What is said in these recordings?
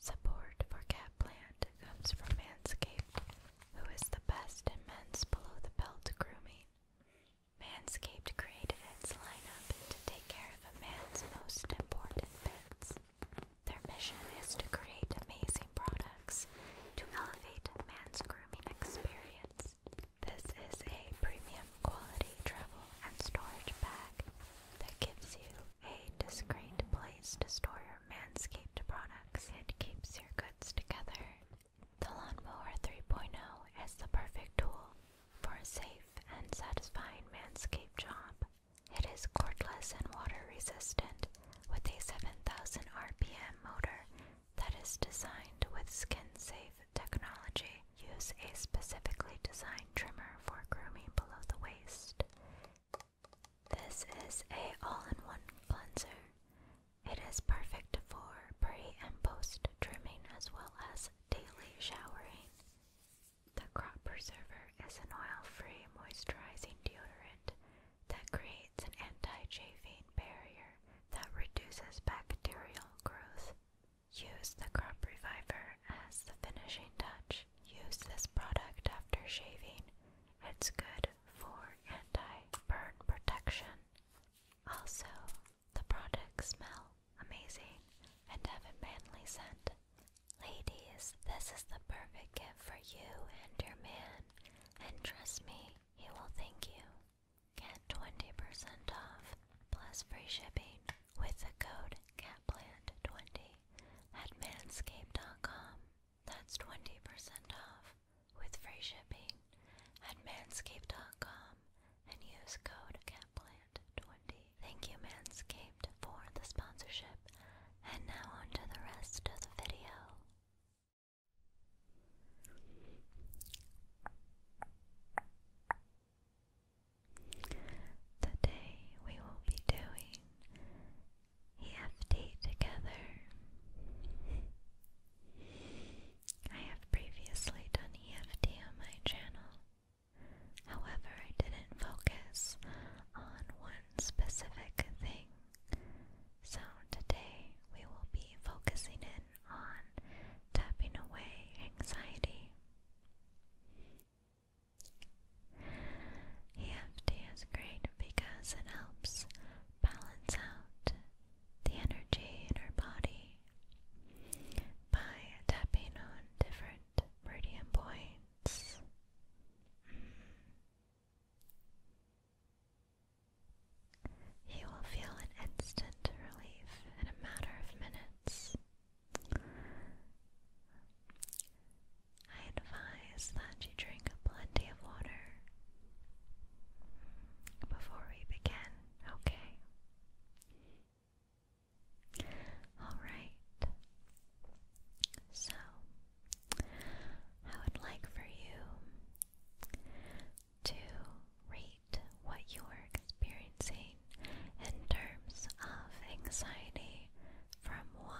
Support for Catplant comes from Manscaped, who is the best in men's below the belt grooming. Manscaped created its lineup to take care of a man's most important bits. Their mission is to create amazing products to elevate man's grooming experience. This is a premium quality travel and storage bag that gives you a discreet place to store your Manscaped products. It keeps your goods together. The Lawnmower 3.0 is the perfect tool for a safe and satisfying manscaped job. It is cordless and water resistant with a 7,000 RPM motor that is designed with skin safe technology Use a specifically designed trimmer for grooming below the waist. This is a all-in-one cleanser. It is perfect for pre and post trimming as well as daily showering. The Crop Preserver is an oil-free moisturizing deodorant that creates an anti-chafing barrier that reduces bacterial growth. Use the Crop Reviver as the finishing touch. Use this product after shaving. It's good for anti-burn protection. Also, the products smell amazing and have a manly scent. Ladies, this is the perfect gift for you and your man, and trust me, he will thank you. Get 20% off plus free shipping with the code CATPLANT20 at manscaped.com. That's 20% off with free shipping at manscaped.com and use code CATPLANT20. Thank you, Manscaped, for the sponsorship. And now on to the rest of the video. Today we will be doing EFT together. I have previously done EFT on my channel. However, I didn't focus on one specific thing. So today we will be focusing in on tapping away anxiety. EFT is great because it helps balance out the energy in our body by tapping on different meridian points. You will feel an instant relief in a matter of minutes. I advise that you drink plenty of water before we begin, okay? Alright. So, I would like for you to rate what you're experiencing in terms of anxiety from 1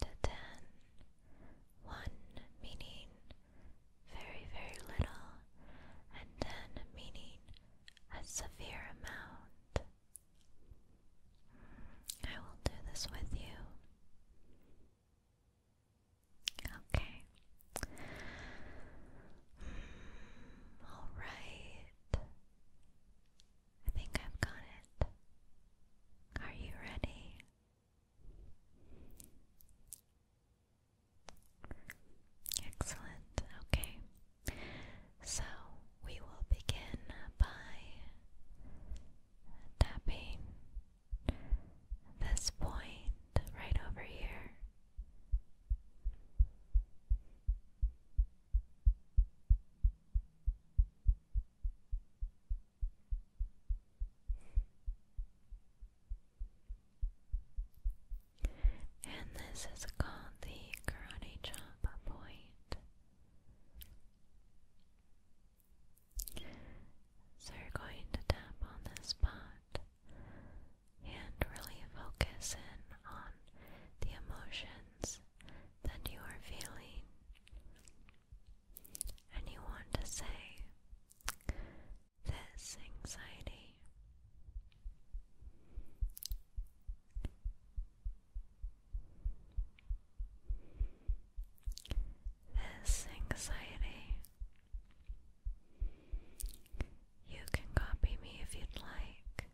to ten, one meaning very, very little, and 10 meaning a severe amount. I will do this with you. Okay. Hmm, all right. I think I've got it. Are you ready? Excellent. Okay. So we will begin by tapping this point right over here. And this is called the Karate Chop Point. So you're going to tap on this spot and really focus in on the emotions that you are feeling. And you want to say, This anxiety this anxiety you can copy me if you'd like.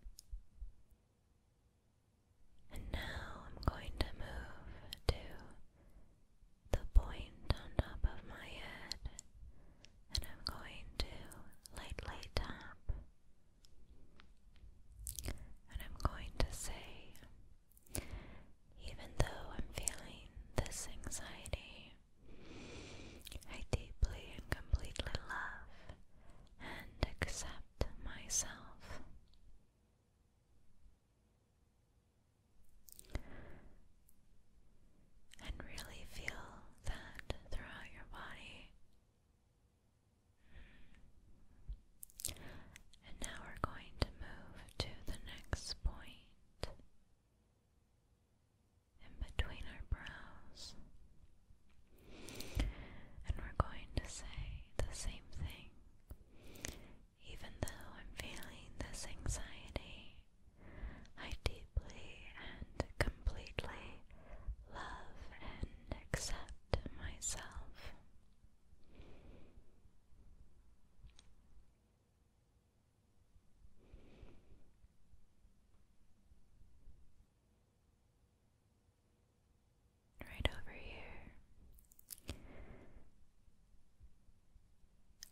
And now I'm going to move to the point on top of my head, and I'm going to lightly tap, and I'm going to say, even though I'm feeling this anxiety, I deeply and completely love and accept myself. And really feel that throughout your body. And now we're going to move to the next point and between our brows. And we're going to say the same thing. Even though I'm feeling this anxiety, I deeply and completely love and accept myself. Right over here,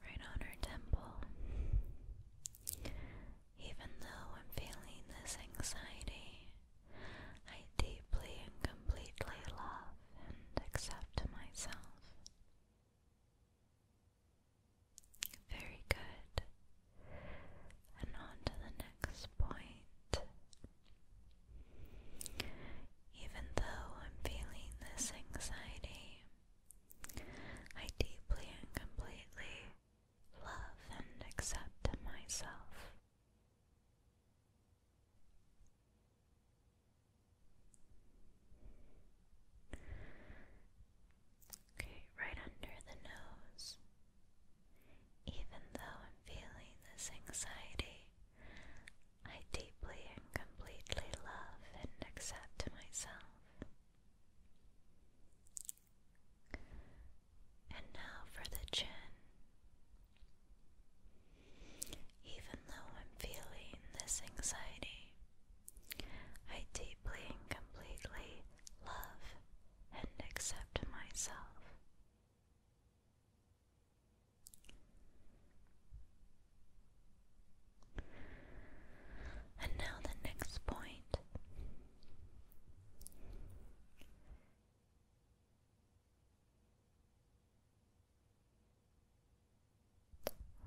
right on her temple. Even though I'm feeling this anxiety, I deeply and completely love and accept myself. Very good. And on to the next point. Even though I'm feeling this anxiety, I deeply and completely love and accept myself. Okay, right under the nose. Even though I'm feeling this anxiety, I deeply and completely love and accept myself. And now for the chin. Even though I'm feeling this anxiety, I deeply and completely love and accept myself. And now the next point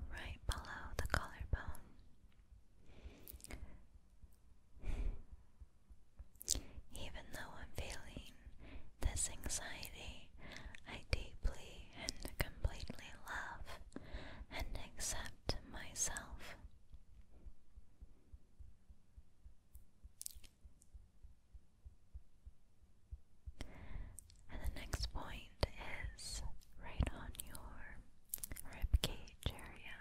right below the collarbone. Even though I'm feeling this anxiety, I deeply and completely love and accept myself. And the next point is right on your rib cage area.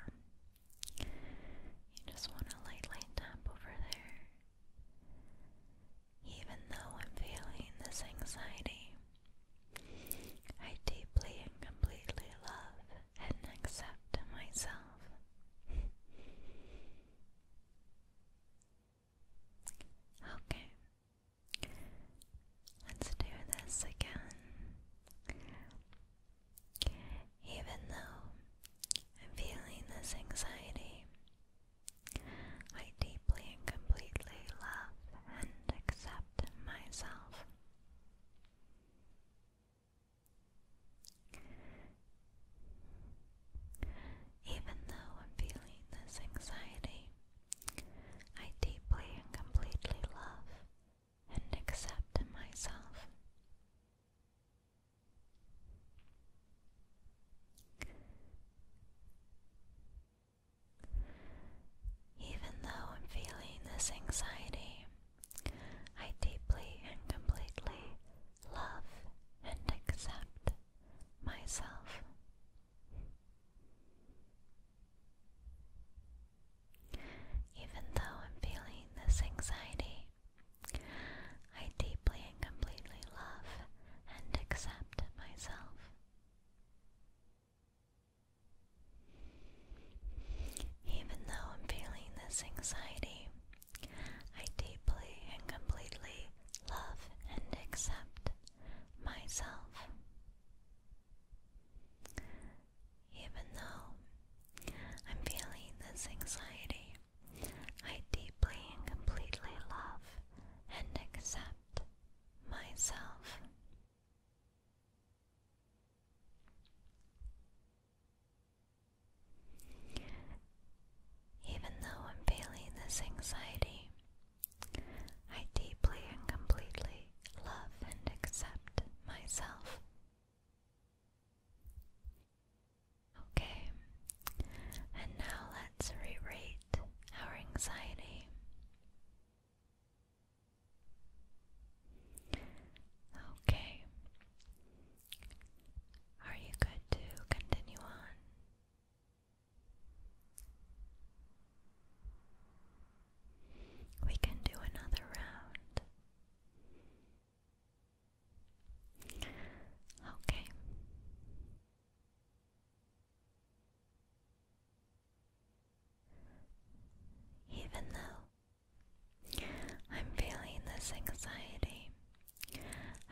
You just want to lightly tap over there. Even though I'm feeling this anxiety, I deeply and completely love and accept myself. Okay. Let's do this again. Even though I'm feeling this anxiety, I deeply and completely love and accept myself. Even though I'm feeling this anxiety, I deeply and completely love and accept myself. Even though I'm feeling this anxiety, I deeply and completely love and accept myself. Even though I'm feeling this anxiety, I deeply and completely love and accept myself. Even though I'm feeling this anxiety, I deeply and completely love, and accept myself. Even though I'm feeling this anxiety, I deeply and completely love and accept myself. Even though I'm feeling this anxiety, I deeply and completely love and accept myself. Okay, and now let's re-rate our anxiety. Okay, are you good to continue on? We can do another round. Okay. Even though I'm feeling this anxiety,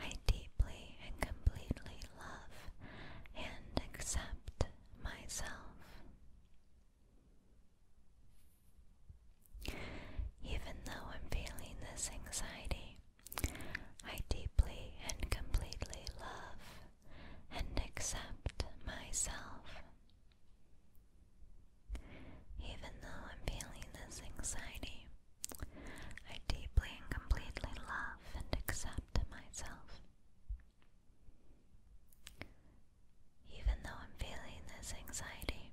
I deeply and completely love and accept myself. Even though I'm feeling this anxiety, I deeply and completely love and accept myself. Even though I'm feeling this anxiety, I deeply and completely love and accept myself. Even though I'm feeling this anxiety,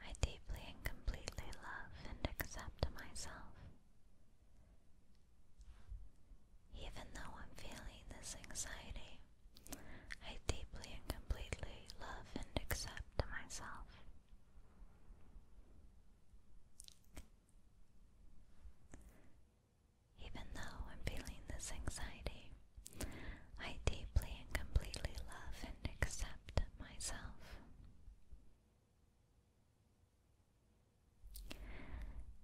I deeply and completely love and accept myself. Even though I'm feeling this anxiety, I deeply and completely love and accept myself. Even though I'm feeling this anxiety, I deeply and completely love and accept myself.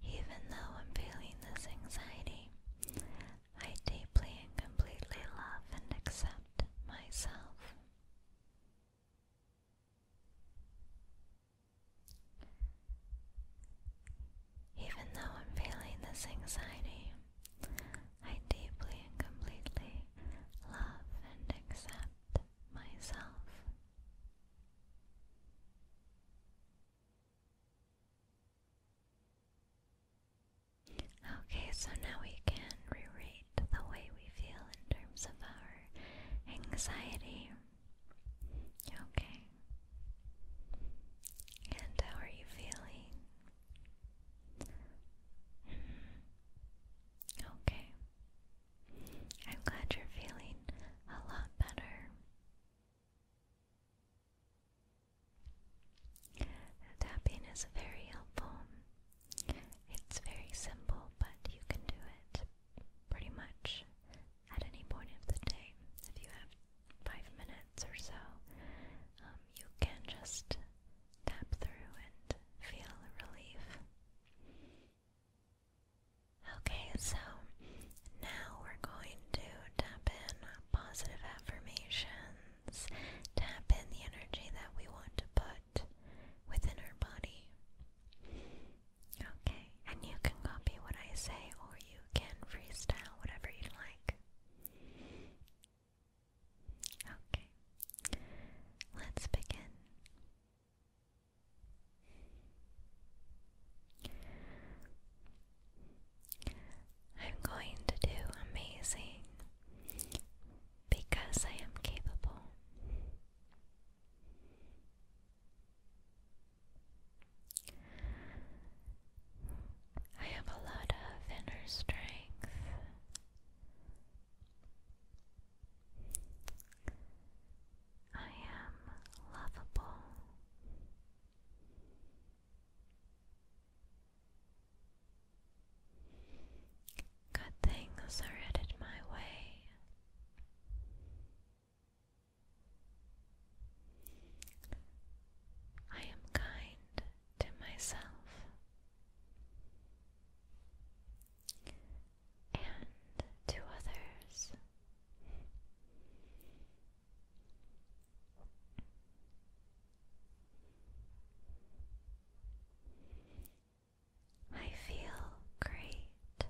Even though I'm feeling this anxiety, I deeply and completely love and accept myself. Even though I'm feeling this anxiety, I deeply and completely love and accept myself. Okay, so now we can reread the way we feel in terms of our anxiety. Okay. And how are you feeling? Okay. I'm glad you're feeling a lot better. Tapping is very helpful it's very simple, but you can do it pretty much at any point of the day. If you have five minutes or so, um, you can just tap through and feel relief. Okay, so now we're going to tap in positive affirmations, tap in the energy that we want to put within her body. Okay, and you can copy what I say or you can freestyle whatever you like. Okay, let's begin. I'm going to do amazing because I am capable. I have a lot of inner strength. I am lovable. Good things are headed my way. I am kind to myself and to others. I feel great.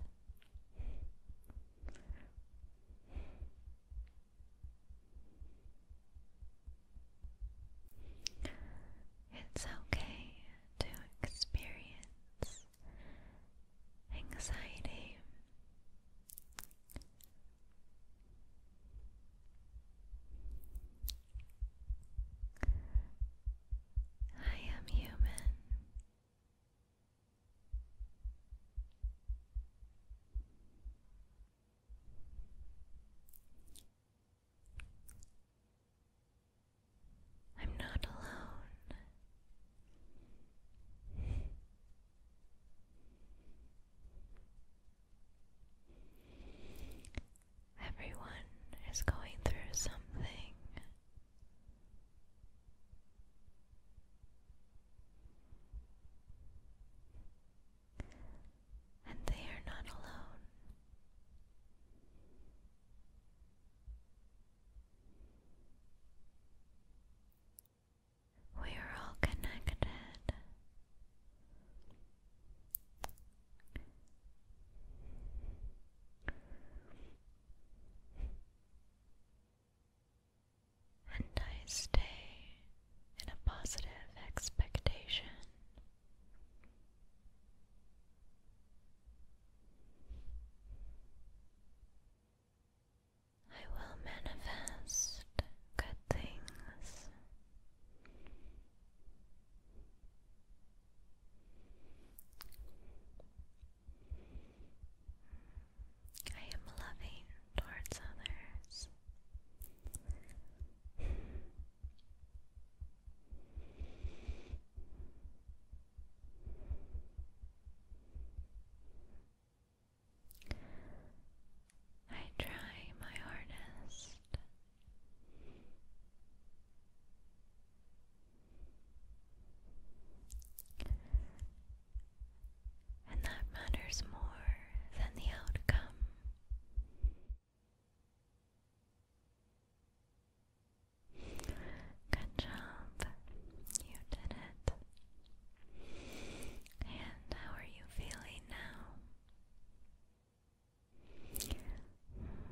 It's okay to experience anxiety. I am human. I'm not alone. Everyone is going through something. And they are not alone. We are all connected and I stay in a positive expectation. I will manifest good things. I am loving towards others. I try my hardest. And that matters more than the outcome. Good job. You did it. And how are you feeling now?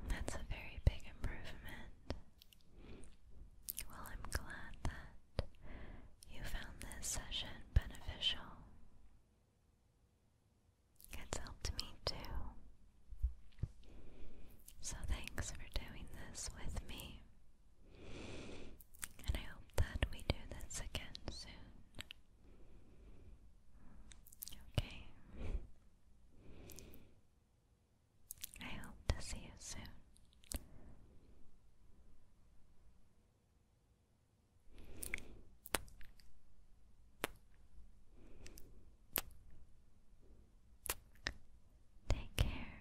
That's a very big improvement. Well, I'm glad that you found this session beneficial. It's helped me too. So thanks for doing this with me. And I hope that we do this again soon. Okay. I hope to see you soon. Take care.